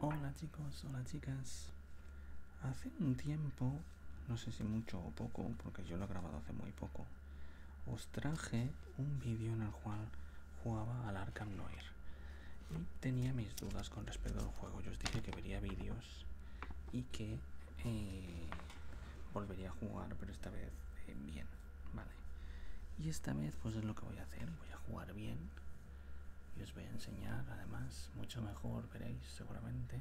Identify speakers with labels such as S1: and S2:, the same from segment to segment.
S1: Hola chicos, hola chicas. Hace un tiempo, no sé si mucho o poco, porque yo lo he grabado hace muy poco, os traje un vídeo en el cual jugaba al Arkham Noir. Y tenía mis dudas con respecto al juego. Yo os dije que vería vídeos y que eh, volvería a jugar, pero esta vez eh, bien. Vale. Y esta vez pues es lo que voy a hacer. Voy a jugar bien. Y os voy a enseñar además mucho mejor, veréis seguramente,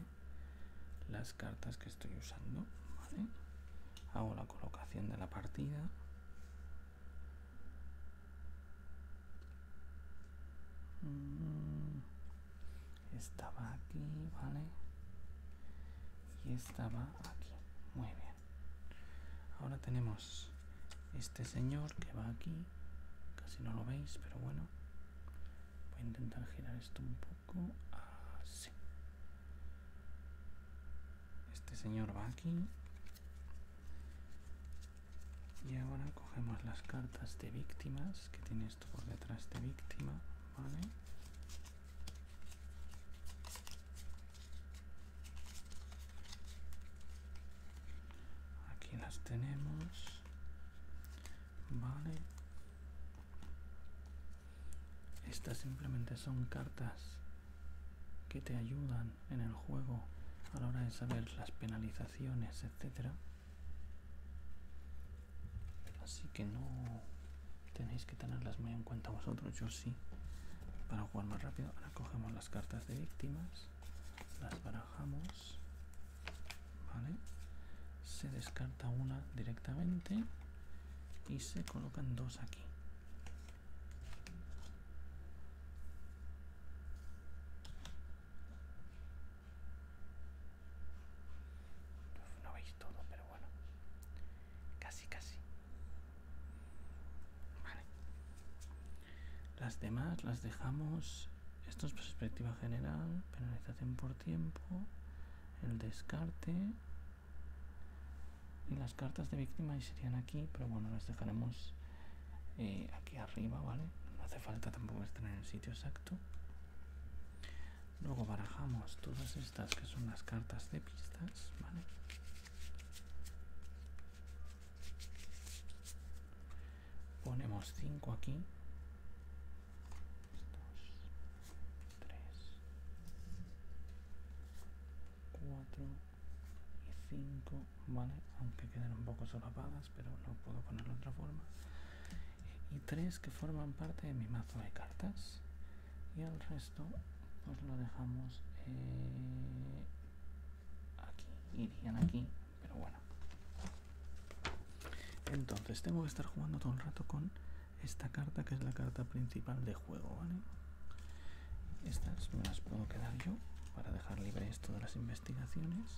S1: las cartas que estoy usando. ¿vale? Hago la colocación de la partida. Mm, estaba aquí, ¿vale? Y estaba aquí. Muy bien. Ahora tenemos este señor que va aquí. Casi no lo veis, pero bueno. Voy a intentar girar esto un poco. Así. Este señor va aquí. Y ahora cogemos las cartas de víctimas, que tiene esto por detrás de víctima, ¿vale? Aquí las tenemos. Vale. Estas simplemente son cartas que te ayudan en el juego a la hora de saber las penalizaciones, etcétera. Así que no tenéis que tenerlas muy en cuenta vosotros, yo sí, para jugar más rápido. Ahora cogemos las cartas de víctimas, las barajamos, ¿vale? Se descarta una directamente y se colocan dos aquí. No veis todo, pero bueno, casi, casi. Las demás las dejamos. Esto es perspectiva general, penalización por tiempo, el descarte. Y las cartas de víctima serían aquí, pero bueno, las dejaremos eh, aquí arriba, ¿vale? No hace falta tampoco estar en el sitio exacto. Luego barajamos todas estas que son las cartas de pistas, ponemos 5 aquí 2, 3 4 y 5 vale aunque queden un poco solapadas pero no puedo ponerlo de otra forma y 3 que forman parte de mi mazo de cartas y al resto esto pues lo dejamos eh, aquí irían aquí pero bueno entonces tengo que estar jugando todo el rato con esta carta que es la carta principal de juego vale estas me las puedo quedar yo para dejar libre esto de las investigaciones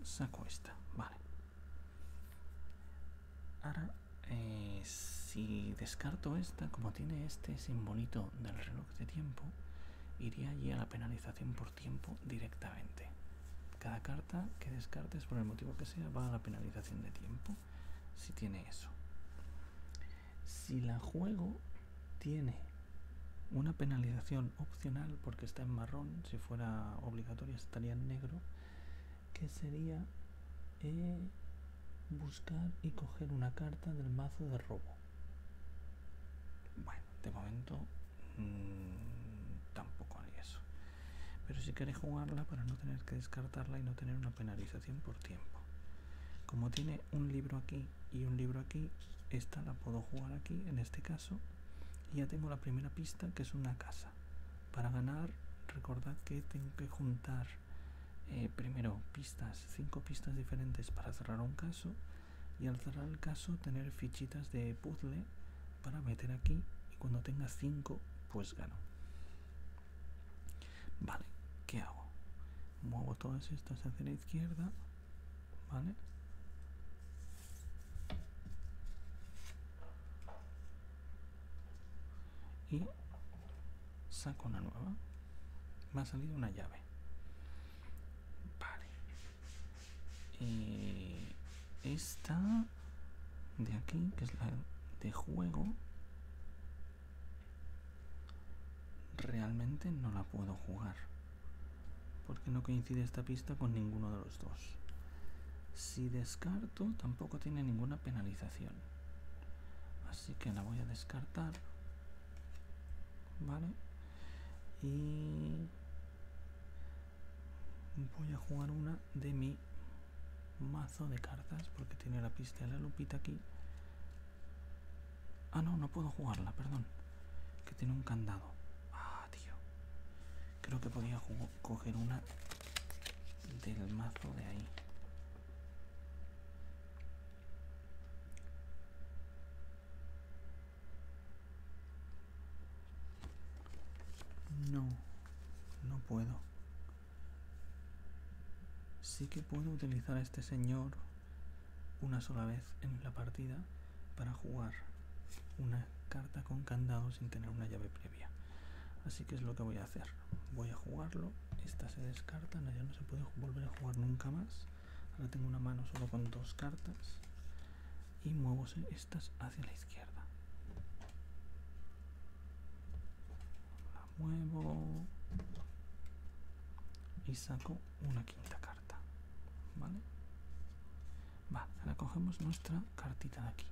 S1: y saco esta vale ahora eh, si descarto esta, como tiene este simbolito del reloj de tiempo, iría allí a la penalización por tiempo directamente. Cada carta que descartes por el motivo que sea va a la penalización de tiempo, si tiene eso. Si la juego tiene una penalización opcional porque está en marrón, si fuera obligatoria estaría en negro, que sería eh, buscar y coger una carta del mazo de robo. Bueno, de momento mm, tampoco hay eso. Pero si queréis jugarla para no tener que descartarla y no tener una penalización por tiempo. Como tiene un libro aquí y un libro aquí, esta la puedo jugar aquí en este caso. Y ya tengo la primera pista que es una casa. Para ganar, recordad que tengo que juntar eh, primero pistas, cinco pistas diferentes para cerrar un caso y al cerrar el caso tener fichitas de puzzle para meter aquí y cuando tenga cinco pues gano. Vale, ¿qué hago? Muevo todas estas hacia la izquierda, ¿vale? y saco una nueva me ha salido una llave vale eh, esta de aquí que es la de juego realmente no la puedo jugar porque no coincide esta pista con ninguno de los dos si descarto tampoco tiene ninguna penalización así que la voy a descartar vale y voy a jugar una de mi mazo de cartas porque tiene la pista de la lupita aquí ah no no puedo jugarla perdón que tiene un candado ah tío creo que podía jugar coger una del mazo de ahí no no puedo sí que puedo utilizar a este señor una sola vez en la partida para jugar una carta con candado sin tener una llave previa así que es lo que voy a hacer voy a jugarlo esta se descartan, ya no se puede volver a jugar nunca más ahora tengo una mano solo con dos cartas y muevo estas hacia la izquierda la muevo y saco una quinta carta vale va, ahora cogemos nuestra cartita de aquí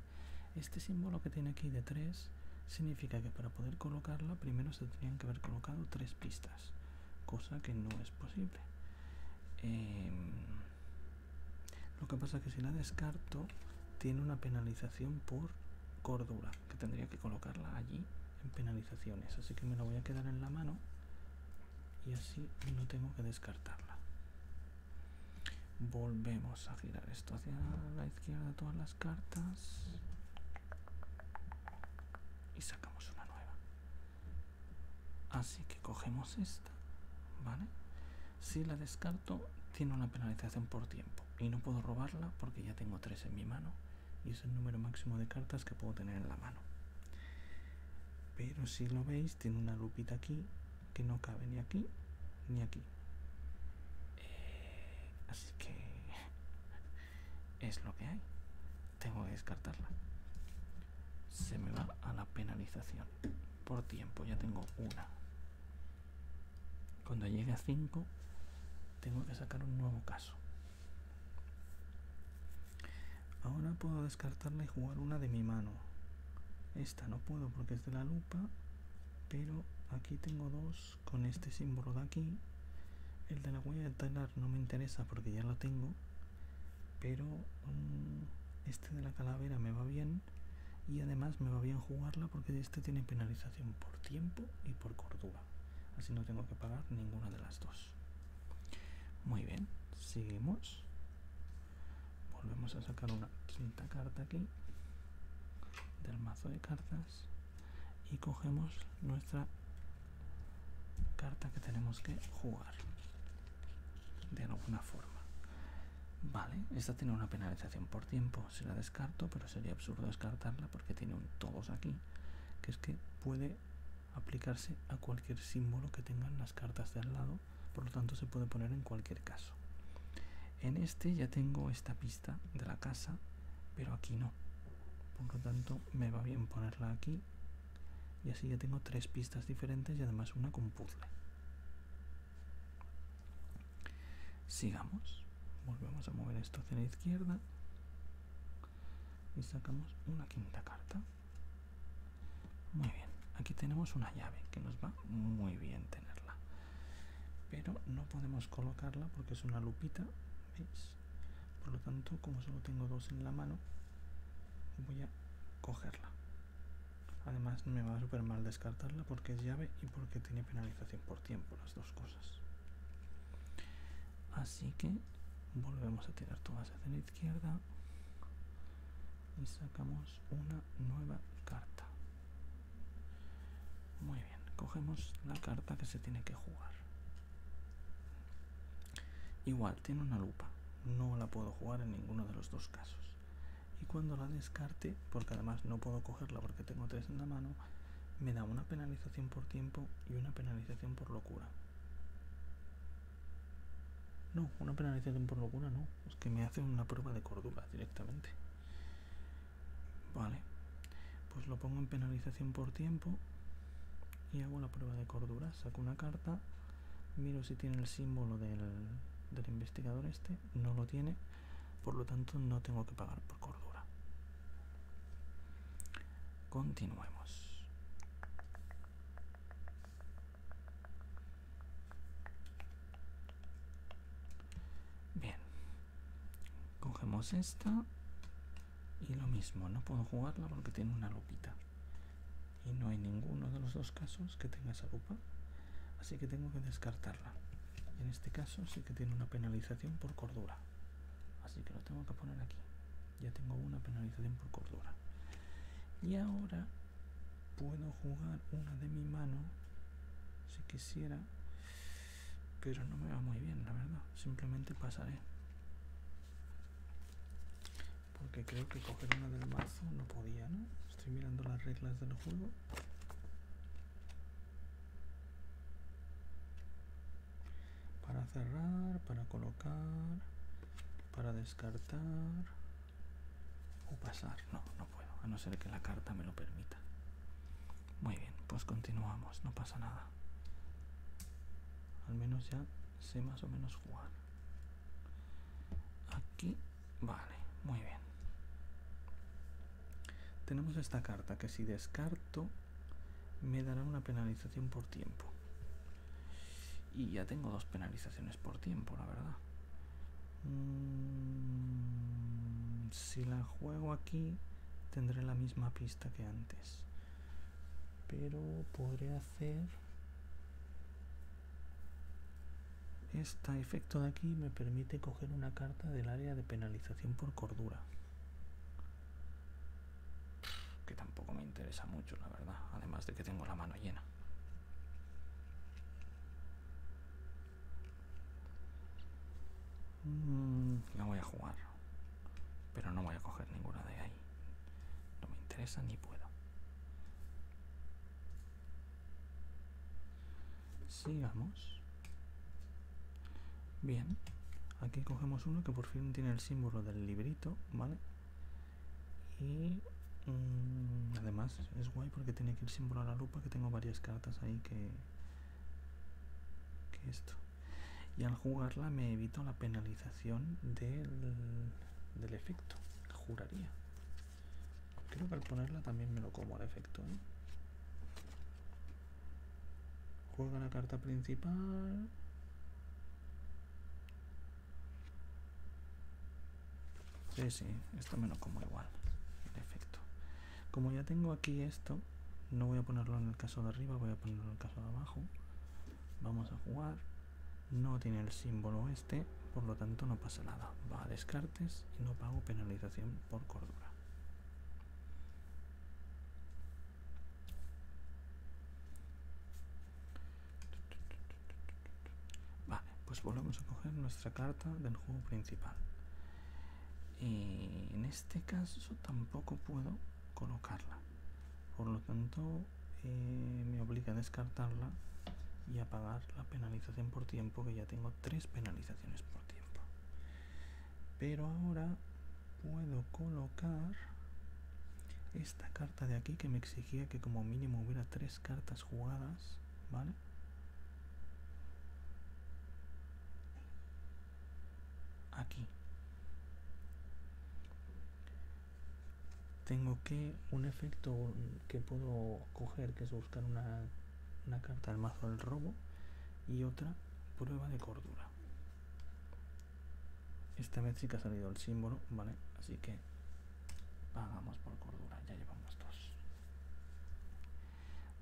S1: este símbolo que tiene aquí de 3 significa que para poder colocarla primero se tendrían que haber colocado tres pistas, cosa que no es posible. Em, lo que pasa que si la descarto tiene una penalización por cordura, que tendría que colocarla allí en penalizaciones, así que me la voy a quedar en la mano y así no tengo que descartarla. Volvemos a girar esto hacia la izquierda todas las cartas y sacamos una nueva. Así que cogemos esta, ¿vale? Si la descarto, tiene una penalización por tiempo y no puedo robarla porque ya tengo tres en mi mano y es el número máximo de cartas que puedo tener en la mano. Pero si lo veis, tiene una lupita aquí que no cabe ni aquí ni aquí. Eh, así que es lo que hay. Tengo que descartarla. Se me va a la penalización. Por tiempo, ya tengo una. Cuando llegue a 5, tengo que sacar un nuevo caso. Ahora puedo descartarla y jugar una de mi mano. Esta no puedo porque es de la lupa pero aquí tengo dos con este símbolo de aquí el de la huella de talar no me interesa porque ya lo tengo pero mm, este de la calavera me va bien y además me va bien jugarla porque este tiene penalización por tiempo y por cordura así no tengo que pagar ninguna de las dos muy bien seguimos volvemos a sacar una quinta carta aquí del mazo de cartas y cogemos nuestra carta que tenemos que jugar de alguna forma vale esta tiene una penalización por tiempo si la descarto pero sería absurdo descartarla porque tiene un todos aquí que es que puede aplicarse a cualquier símbolo que tengan las cartas de al lado por lo tanto se puede poner en cualquier caso en este ya tengo esta pista de la casa, pero aquí no. Por lo tanto, me va bien ponerla aquí. Y así ya tengo tres pistas diferentes y además una con puzzle. Sigamos. Volvemos a mover esto hacia la izquierda. Y sacamos una quinta carta. Muy bien. Aquí tenemos una llave que nos va muy bien tenerla pero no podemos colocarla porque es una lupita por lo tanto como solo tengo dos en la mano voy a cogerla además me va súper mal descartarla porque es llave y porque tiene penalización por tiempo las dos cosas así que volvemos a tirar todas hacia la izquierda y sacamos una nueva carta muy bien, cogemos la carta que se tiene que jugar. Igual, tiene una lupa. No la puedo jugar en ninguno de los dos casos. Y cuando la descarte, porque además no puedo cogerla porque tengo tres en la mano, me da una penalización por tiempo y una penalización por locura. No, una penalización por locura no. Es que me hace una prueba de cordura directamente. Vale, pues lo pongo en penalización por tiempo y hago la prueba de cordura. Saco una carta, miro si tiene el símbolo del, investigador este, no lo tiene, por lo tanto no tengo que pagar por cordura. Continuemos. Bien. Cogemos esta. Y lo mismo, no puedo jugarla porque tiene una lupita. Y no hay ninguno de los dos casos que tenga esa lupa. Así que tengo que descartarla. Y en este caso sí que tiene una penalización por cordura. Así que lo tengo que poner aquí. Ya tengo una penalización por cordura. Y ahora puedo jugar una de mi mano si quisiera pero no me va muy bien, la verdad. Simplemente pasaré. Porque creo que coger una del mazo no podía, ¿no? Estoy mirando las reglas del juego. Para cerrar, para colocar, para descartar o pasar. no puedo, a no ser que la carta me lo permita. Muy bien, pues continuamos, no pasa nada. Al menos ya sé más o menos jugar. Aquí, vale, muy bien. Tenemos esta carta que si descarto me dará una penalización por tiempo. Y ya tengo dos penalizaciones por tiempo, la verdad. Mm, si la juego aquí, tendré la misma pista que antes. Pero podré hacer... Este efecto de aquí me permite coger una carta del área de penalización por cordura. Que tampoco me interesa mucho, la verdad. Además de que tengo la mano llena. Mm, la voy a jugar, pero no voy a coger ninguna de ahí. No me interesa ni puedo. Sigamos. Bien, aquí cogemos uno que por fin tiene el símbolo del librito, ¿vale? Y mm, además es guay porque tiene aquí el símbolo a la lupa, que tengo varias cartas ahí que que esto. Y al jugarla me evito la penalización del, del efecto. Juraría. Creo que al ponerla también me lo como al efecto. ¿eh? Juega la carta principal. Sí, sí, esto menos como igual. En efecto. Como ya tengo aquí esto, no voy a ponerlo en el caso de arriba, voy a ponerlo en el caso de abajo. Vamos a jugar. No tiene el símbolo este, por lo tanto no pasa nada. Va a descartes y no pago penalización por cordura. Va, pues volvemos a coger nuestra carta del juego principal en este caso tampoco puedo colocarla por lo tanto eh, me obliga a descartarla y a pagar la penalización por tiempo que ya tengo tres penalizaciones por tiempo pero ahora puedo colocar esta carta de aquí que me exigía que como mínimo hubiera tres cartas jugadas vale Aquí. Tengo que un efecto que puedo coger, que es buscar una, una carta al mazo del robo, y otra prueba de cordura. Esta vez sí que ha salido el símbolo, ¿vale? Así que pagamos por cordura, ya llevamos dos.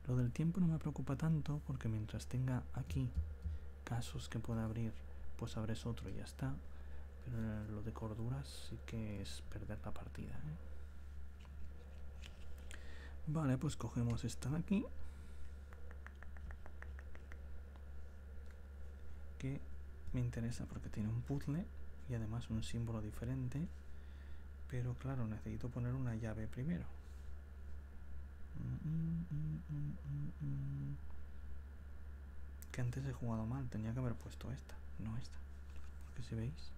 S1: Lo del tiempo no me preocupa tanto porque mientras tenga aquí casos que pueda abrir, pues abres otro y ya está. Pero lo de corduras sí que es perder la partida. ¿eh? Vale, pues cogemos esta de aquí. Que me interesa porque tiene un puzzle y además un símbolo diferente pero claro, necesito poner una llave primero. Que antes he jugado mal, tenía que haber puesto esta, no esta. Porque si veis,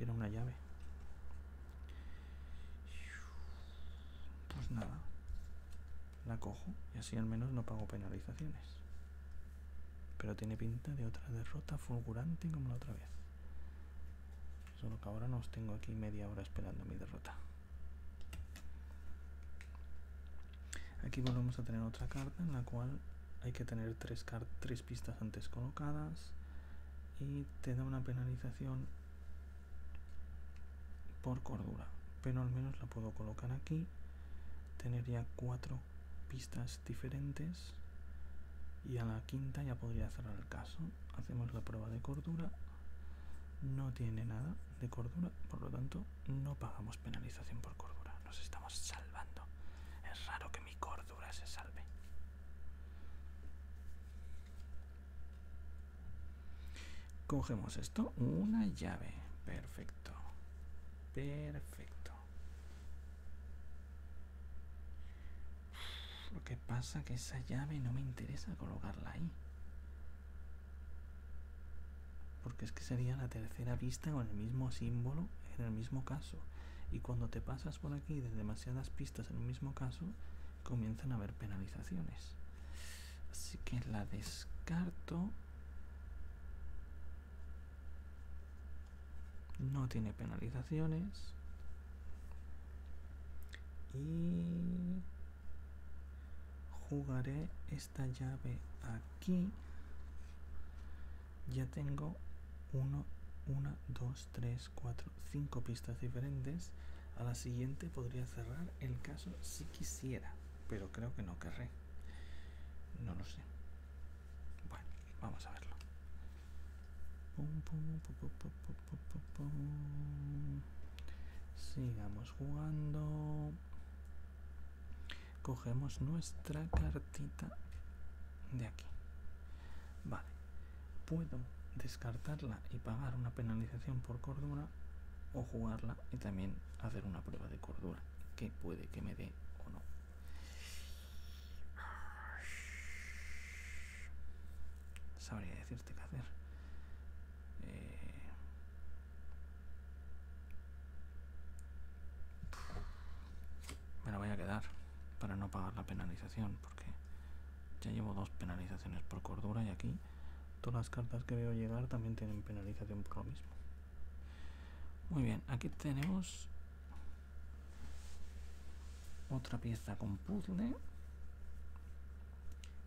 S1: era una llave. Pues nada, la cojo y así al menos no pago penalizaciones. Pero tiene pinta de otra derrota fulgurante como la otra vez. Solo que ahora no os tengo aquí media hora esperando mi derrota. Aquí volvemos a tener otra carta en la cual hay que tener tres, tres pistas antes colocadas y te da una penalización por cordura pero al menos la puedo colocar aquí tener ya cuatro pistas diferentes y a la quinta ya podría cerrar el caso. Hacemos la prueba de cordura. No tiene nada de cordura, por lo tanto no pagamos penalización por cordura. Nos estamos salvando. Es raro que mi cordura se salve. Cogemos esto, una llave. Perfecto. Perfecto. Lo que pasa es que esa llave no me interesa colocarla ahí. Porque es que sería la tercera pista con el mismo símbolo en el mismo caso. Y cuando te pasas por aquí de demasiadas pistas en el mismo caso, comienzan a haber penalizaciones. Así que la descarto no tiene penalizaciones y jugaré esta llave aquí ya tengo 1 1 2 3 4 5 pistas diferentes a la siguiente podría cerrar el caso si quisiera pero creo que no querré no lo sé bueno, vamos a verlo. Sigamos jugando. Cogemos nuestra cartita de aquí. Vale. Puedo descartarla y pagar una penalización por cordura o jugarla y también hacer una prueba de cordura que puede que me dé o no. Sabría decirte qué hacer. Eh, me la voy a quedar para no pagar la penalización, porque ya llevo dos penalizaciones por cordura y aquí todas las cartas que veo llegar también tienen penalización por lo mismo. Muy bien, aquí tenemos otra pieza con puzzle.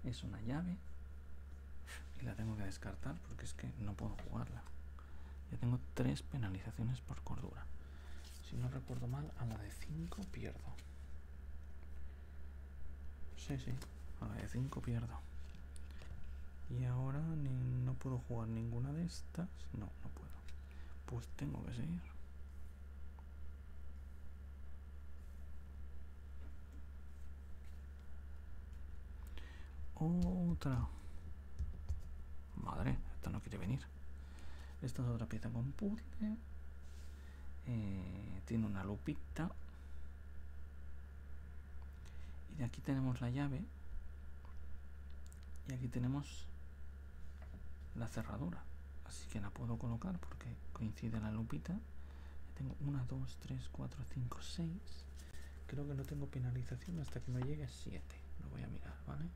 S1: Es una llave. Y la tengo que descartar porque es que no puedo jugarla. Ya tengo tres penalizaciones por cordura. Si no recuerdo mal, a la de 5 pierdo. Sí, sí, a la de 5 pierdo. Y ahora no puedo jugar ninguna de estas. No, no puedo pues tengo que seguir. Otra. Madre, esta no quiere venir. Esta es otra pieza con eh, tiene una lupita. Y de aquí tenemos la llave y aquí tenemos la cerradura así que la puedo colocar porque coincide la lupita tengo una dos tres cuatro 5 seis creo que no tengo penalización hasta que me llegue 7 lo voy a mirar vale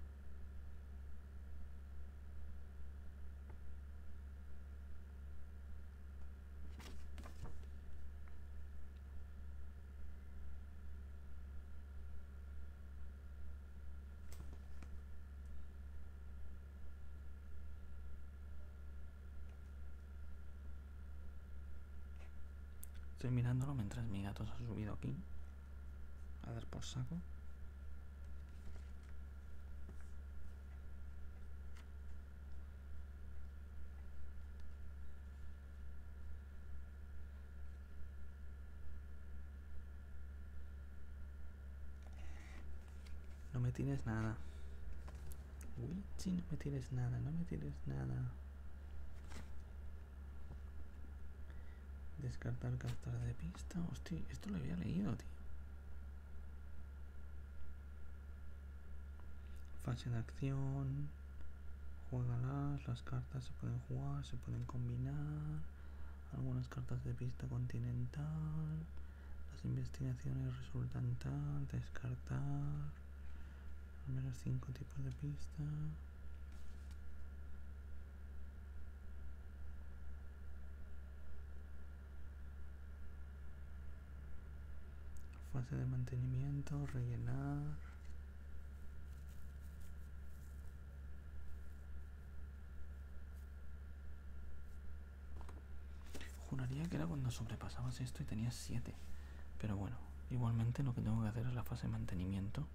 S1: Estoy mirándolo mientras mi gato se ha subido aquí. A dar por saco. No me tienes nada. Uy, no me tienes nada, no me tienes nada. Descartar cartas de pista. Hostia, esto lo había leído, tío. Fase de acción. Juegalas, las cartas se pueden jugar, se pueden combinar. Algunas cartas de pista continental. Las investigaciones resultan tal. Descartar. Al menos cinco tipos de pista. Fase de mantenimiento. Rellenar. Juraría que era cuando sobrepasabas esto y tenías 7. Pero bueno, igualmente lo que tengo que hacer es la fase de mantenimiento,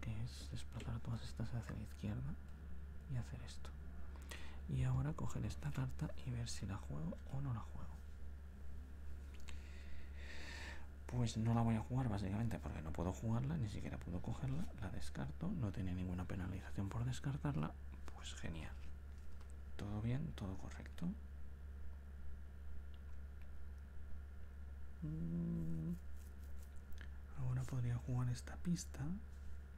S1: que es desplazar todas estas hacia la izquierda y hacer esto. Y ahora coger esta carta y ver si la juego o no la juego pues no la voy a jugar básicamente porque no puedo jugarla, ni siquiera puedo cogerla, la descarto, no tiene ninguna penalización por descartarla, pues genial. Todo bien, todo correcto. Mm, ahora podría jugar esta pista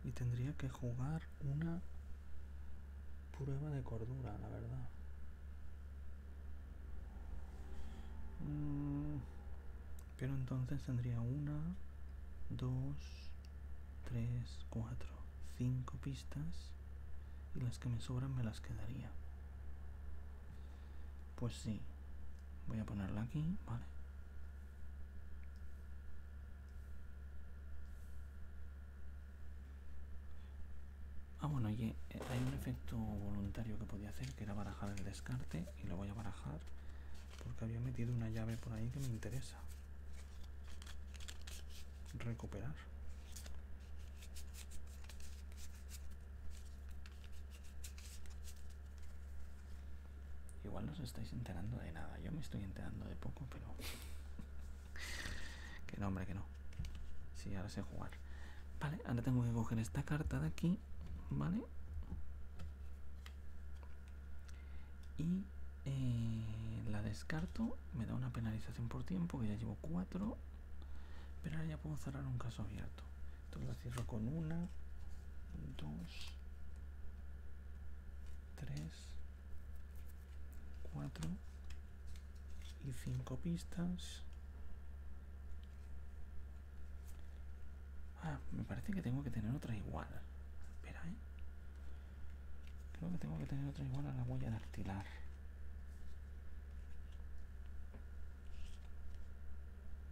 S1: y tendría que jugar una prueba de cordura, la verdad. Mm, pero entonces tendría una, dos, tres, cuatro, cinco pistas y las que me sobran me las quedaría. Pues sí, voy a ponerla aquí, vale. Ah, bueno, eh, hay un efecto voluntario que podía hacer, que era barajar el descarte y lo voy a barajar porque había metido una llave por ahí que me interesa recuperar igual no os estáis enterando de nada yo me estoy enterando de poco pero que no hombre que no sí, ahora sé jugar vale ahora tengo que coger esta carta de aquí ¿vale? Y eh, la descarto, me da una penalización por tiempo, que ya llevo 4, pero ya puedo cerrar un caso abierto. Entonces la cierro con una, dos, tres, cuatro y cinco pistas Ah, me parece que tengo que tener otra igual. Espera, ¿eh? Creo que tengo que tener otra igual a la huella de artilar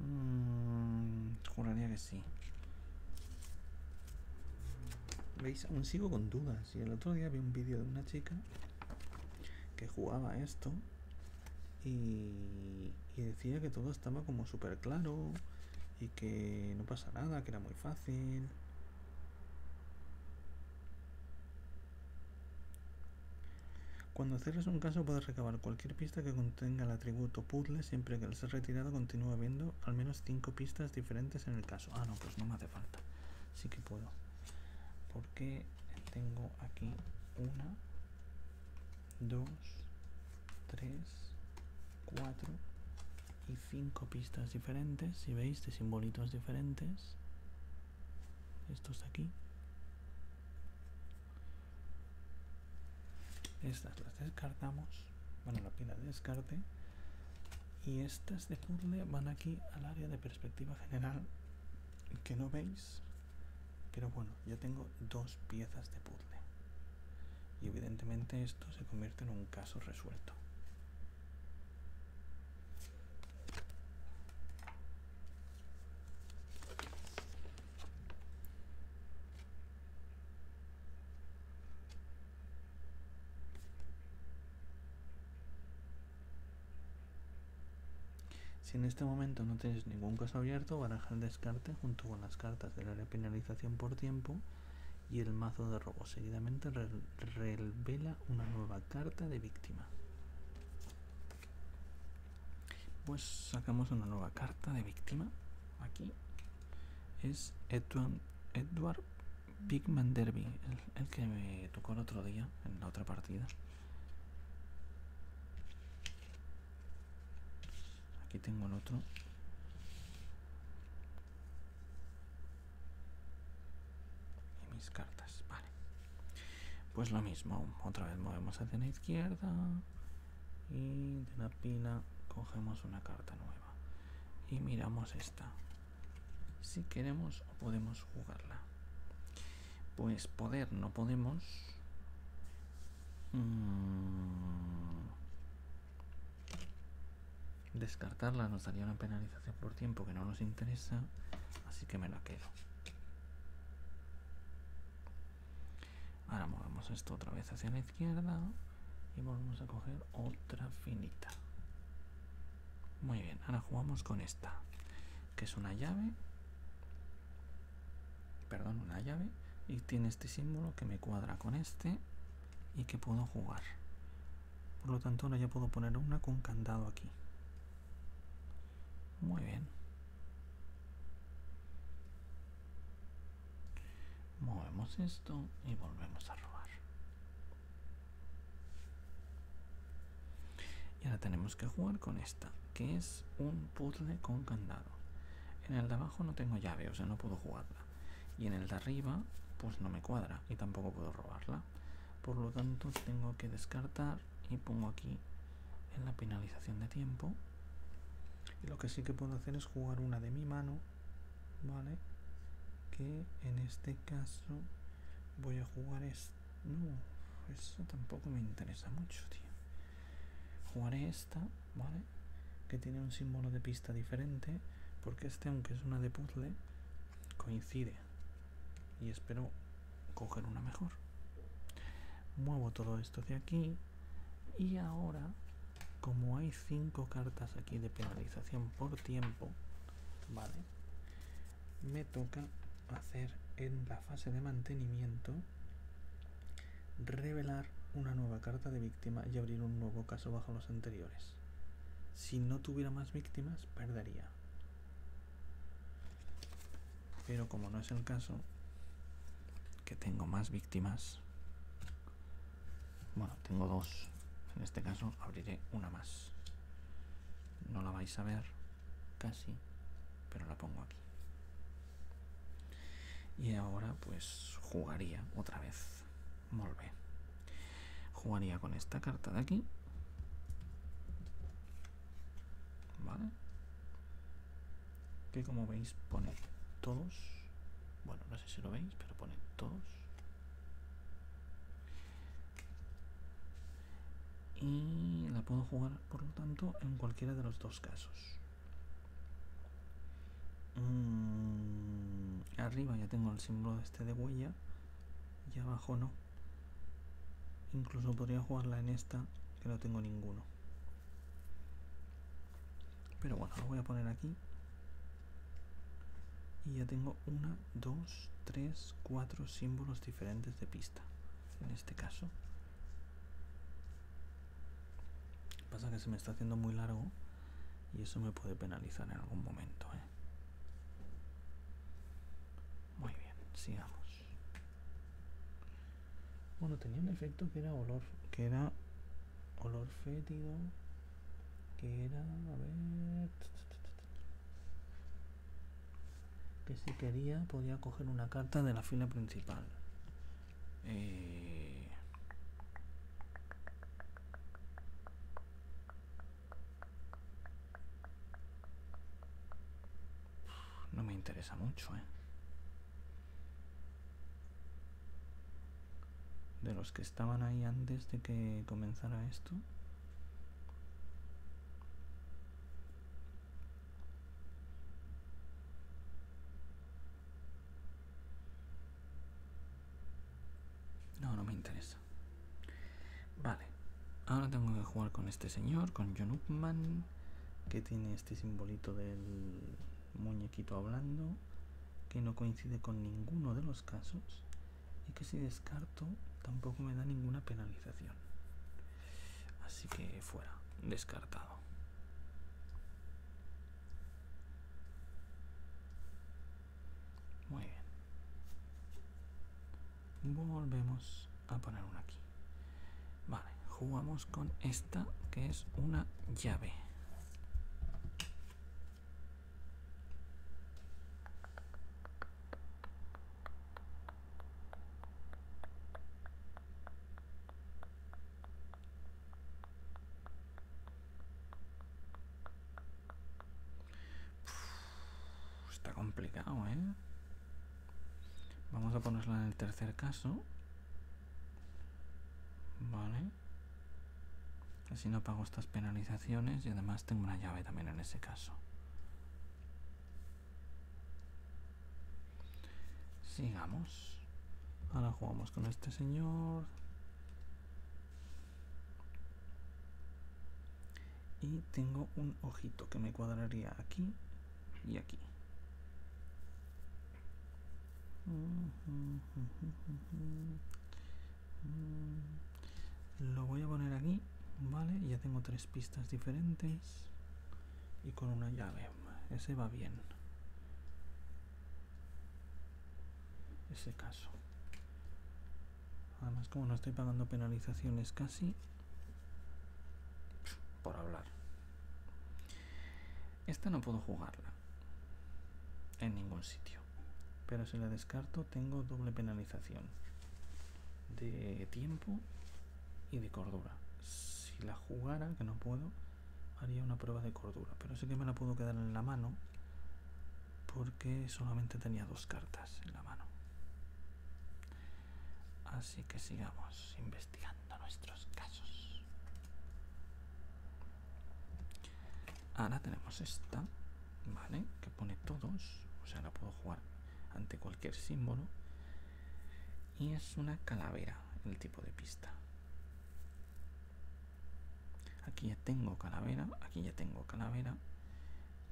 S1: mm, juraría que sí. ¿Veis? Aún sigo con dudas. Y el otro día vi un vídeo de una chica que jugaba esto y, decía que todo estaba como súper claro y que no pasa nada, que era muy fácil. Cuando cierres un caso puedes recabar cualquier pista que contenga el atributo puzzle siempre que al ser retirado Continúa viendo al menos cinco pistas diferentes en el caso. Ah, no, pues no me hace falta. Sí que puedo. Porque tengo aquí una, 2, 3, 4 y 5 pistas diferentes, si veis, de simbolitos diferentes. Estos de aquí. Estas las descartamos. Bueno, la pila de descarte. Y estas de puzzle van aquí al área de perspectiva general que no veis, pero bueno, yo tengo dos piezas de puzzle. Y evidentemente esto se convierte en un caso resuelto. Si en este momento no tienes ningún caso abierto, baraja el descarte junto con las cartas del área de penalización por tiempo y el mazo de robo. Seguidamente revela una nueva carta de víctima. Pues sacamos una nueva carta de víctima. Aquí es Edward, Edward Pigman Derby, el que me tocó el otro día en la otra partida. Aquí tengo el otro. Y mis cartas, vale. Pues lo mismo, otra vez movemos hacia la izquierda. Y de la pila cogemos una carta nueva. Y miramos esta. Si queremos o podemos jugarla. Pues poder no podemos. Mm. Descartarla nos daría una penalización por tiempo que no nos interesa, así que me la quedo. Ahora movemos esto otra vez hacia la izquierda y volvemos a coger otra finita. Muy bien, ahora jugamos con esta, que es una llave perdón, una llave y tiene este símbolo que me cuadra con este y que puedo jugar. Por lo tanto, ahora ya puedo poner una con candado aquí. Muy bien. Movemos esto y volvemos a robar. Y ahora tenemos que jugar con esta, que es un puzzle con candado. En el de abajo no tengo llave, o sea, no puedo jugarla. Y en el de arriba, pues no me cuadra y tampoco puedo robarla. Por lo tanto, tengo que descartar y pongo aquí en la penalización de tiempo. Y lo que sí que puedo hacer es jugar una de mi mano, ¿vale? Que en este caso voy a jugar esto. No, eso tampoco me interesa mucho, tío. Jugaré esta, ¿vale? Que tiene un símbolo de pista diferente, porque este, aunque es una de puzzle, coincide. Y espero coger una mejor. Muevo todo esto de aquí. Y ahora, como hay cinco cartas aquí de penalización por tiempo, ¿vale? Me toca hacer en la fase de mantenimiento revelar una nueva carta de víctima y abrir un nuevo caso bajo los anteriores. Si no tuviera más víctimas, perdería. Pero como no es el caso, que tengo más víctimas, bueno, tengo dos. En este caso abriré una más. No la vais a ver casi, pero la pongo aquí. Y ahora pues jugaría otra vez. Muy Jugaría con esta carta de aquí. ¿Vale? Que como veis pone todos. Bueno, no sé si lo veis, pero pone todos. Y la puedo jugar por lo tanto, en cualquiera de los dos casos. Mm, arriba ya tengo el símbolo este de huella y abajo no. Incluso podría jugarla en esta, que no tengo ninguno. Pero bueno, lo voy a poner aquí. Y ya tengo una, dos, tres, cuatro símbolos diferentes de pista. En este caso. Pasa que se me está haciendo muy largo y eso me puede penalizar en algún momento. ¿eh? Muy bien, sigamos. Bueno, tenía un efecto que era olor, que era olor fétido, que era, a ver, que si quería podía coger una carta de la fila principal. Eh, no me interesa mucho, ¿eh? De los que estaban ahí antes de que comenzara esto. No, no me interesa. Vale. Ahora tengo que jugar con este señor, con John Upman, que tiene este simbolito del muñequito hablando, que no coincide con ninguno de los casos, y que si descarto tampoco me da ninguna penalización. Así que fuera, descartado. Muy bien. Volvemos a poner una aquí. Vale, jugamos con esta que es una llave está complicado, ¿eh? Vamos a ponerla en el tercer caso. Vale. Así no pago estas penalizaciones y además tengo una llave también en ese caso. Sigamos. Ahora jugamos con este señor. Y tengo un ojito que me cuadraría aquí y aquí. Lo voy a poner aquí, ¿vale? Ya tengo tres pistas diferentes y con una llave. Ese va bien. Ese caso. Además, como no estoy pagando penalizaciones casi. Por hablar. Esta no puedo jugarla. En ningún sitio. Pero si la descarto, tengo doble penalización. De tiempo y de cordura. Si la jugara, que no puedo, haría una prueba de cordura. Pero sí que me la puedo quedar en la mano porque solamente tenía dos cartas en la mano. Así que sigamos investigando nuestros casos. Ahora tenemos esta, ¿vale? Que pone todos, o sea, la puedo jugar ante cualquier símbolo y es una calavera el tipo de pista aquí ya tengo calavera aquí ya tengo calavera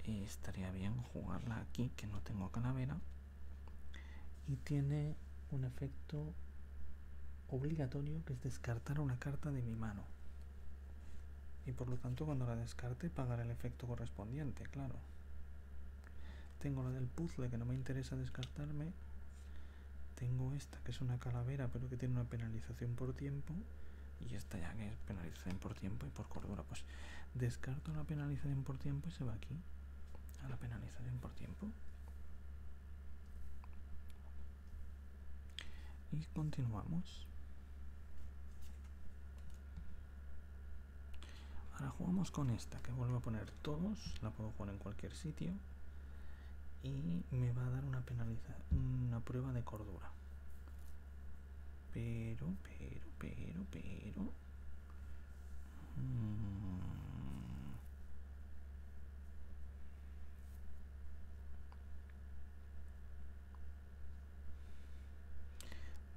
S1: eh, estaría bien jugarla aquí que no tengo calavera y tiene un efecto obligatorio que es descartar una carta de mi mano y por lo tanto cuando la descarte pagaré el efecto correspondiente claro tengo la del puzzle que no me interesa descartarme. Tengo esta que es una calavera pero que tiene una penalización por tiempo. Y esta ya que es penalización por tiempo y por cordura. Pues descarto la penalización por tiempo y se va aquí. A la penalización por tiempo. Y continuamos. Ahora jugamos con esta, que vuelvo a poner todos, la puedo jugar en cualquier sitio. Y me va a dar una penalización, una prueba de cordura. Pero, pero, pero, pero... Mm.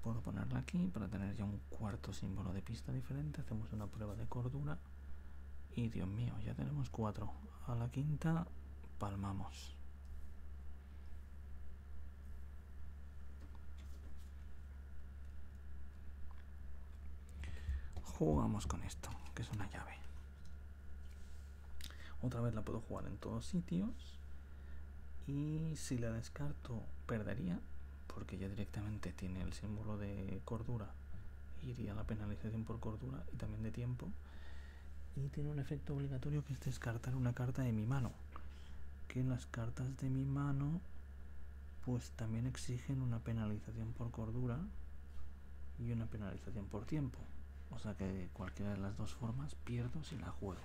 S1: Puedo ponerla aquí para tener ya un cuarto símbolo de pista diferente. Hacemos una prueba de cordura. Y Dios mío, ya tenemos cuatro. A la quinta palmamos. Jugamos con esto, que es una llave. Otra vez la puedo jugar en todos sitios. Y si la descarto, perdería porque ya directamente tiene el símbolo de cordura, iría la penalización por cordura y también de tiempo, y tiene un efecto obligatorio que es descartar una carta de mi mano, que las cartas de mi mano pues también exigen una penalización por cordura y una penalización por tiempo, o sea que cualquiera de las dos formas pierdo si la juego.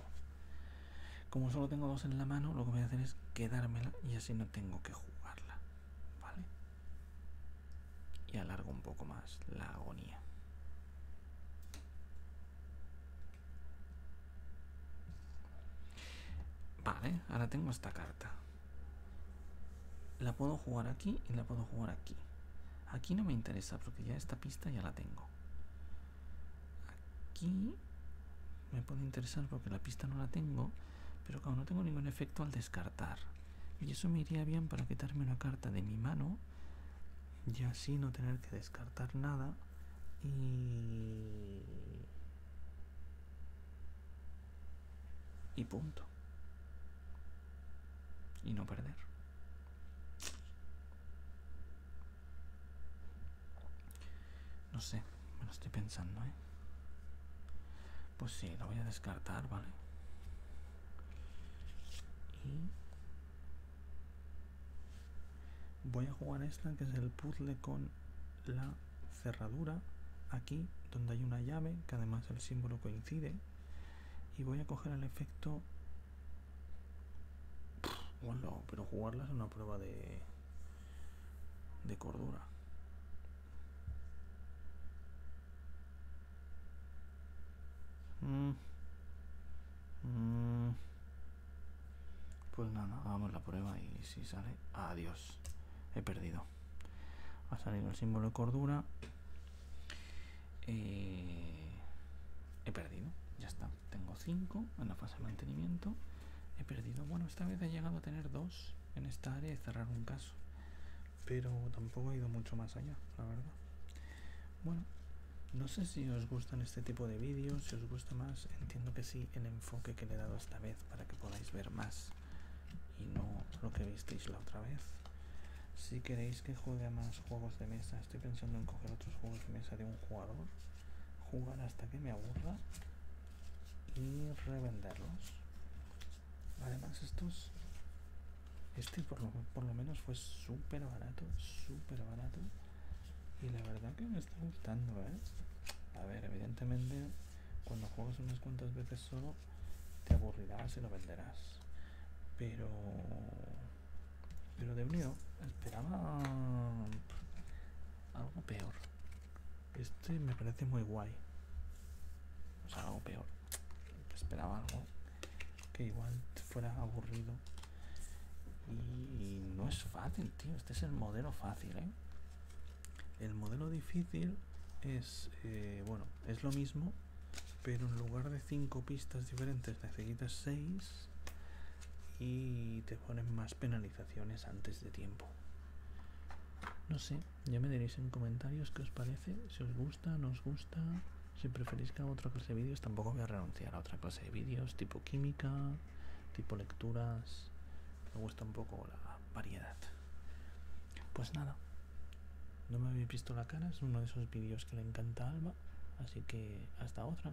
S1: Como solo tengo dos en la mano, lo que voy a hacer es quedármela y así no tengo que jugarla. ¿Vale? Y alargo un poco más la agonía. Vale, ahora tengo esta carta. La puedo jugar aquí y la puedo jugar aquí. Aquí no me interesa porque ya esta pista ya la tengo. Aquí me puede interesar porque la pista no la tengo, pero como no tengo ningún efecto al descartar. Y eso me iría bien para quitarme una carta de mi mano y así no tener que descartar nada y... Y punto. Y no perder. No sé, me lo estoy pensando, ¿eh? Pues sí, lo voy a descartar, ¿vale? Y... Voy a jugar esta, que es el puzzle con la cerradura, aquí, donde hay una llave, que además el símbolo coincide. Y voy a coger el efecto... Bueno, pero jugarla es una prueba de de cordura. Mm. Mm. Pues nada, hagamos la prueba y si sale... Adiós, he perdido. Ha salido el símbolo de cordura. Eh, he perdido, ya está tengo 5 en la fase de mantenimiento. He perdido, bueno, esta vez he llegado a tener 2 en esta área y cerrar un caso. Pero tampoco he ido mucho más allá, la verdad. Bueno, no sé si os gustan este tipo de vídeos, si os gusta más, entiendo que sí, el enfoque que le he dado esta vez para que podáis ver más y no lo que visteis la otra vez. Si queréis que juegue más juegos de mesa, estoy pensando en coger otros juegos de mesa de un jugador, jugar hasta que me aburra y revenderlos además estos este por lo, menos fue súper barato súper barato y la verdad que me está gustando ¿eh? a ver evidentemente cuando juegas unas cuantas veces solo te aburrirás y lo venderás pero pero de unido esperaba algo peor este me parece muy guay. O sea, algo peor. Esperaba algo que igual fuera aburrido. Y no es fácil, tío. Este es el modelo fácil, ¿eh? El modelo difícil es, eh, bueno, es lo mismo, pero en lugar de cinco pistas diferentes necesitas 6 y te ponen más penalizaciones antes de tiempo. No sé, ya me diréis en comentarios qué os parece, si os gusta, no os gusta, si preferís que haga otra clase de vídeos, tampoco voy a renunciar a otra clase de vídeos, tipo química, tipo lecturas, me gusta un poco la variedad. Pues nada, no me había visto la cara, es uno de esos vídeos que le encanta a Alba, así que hasta otra.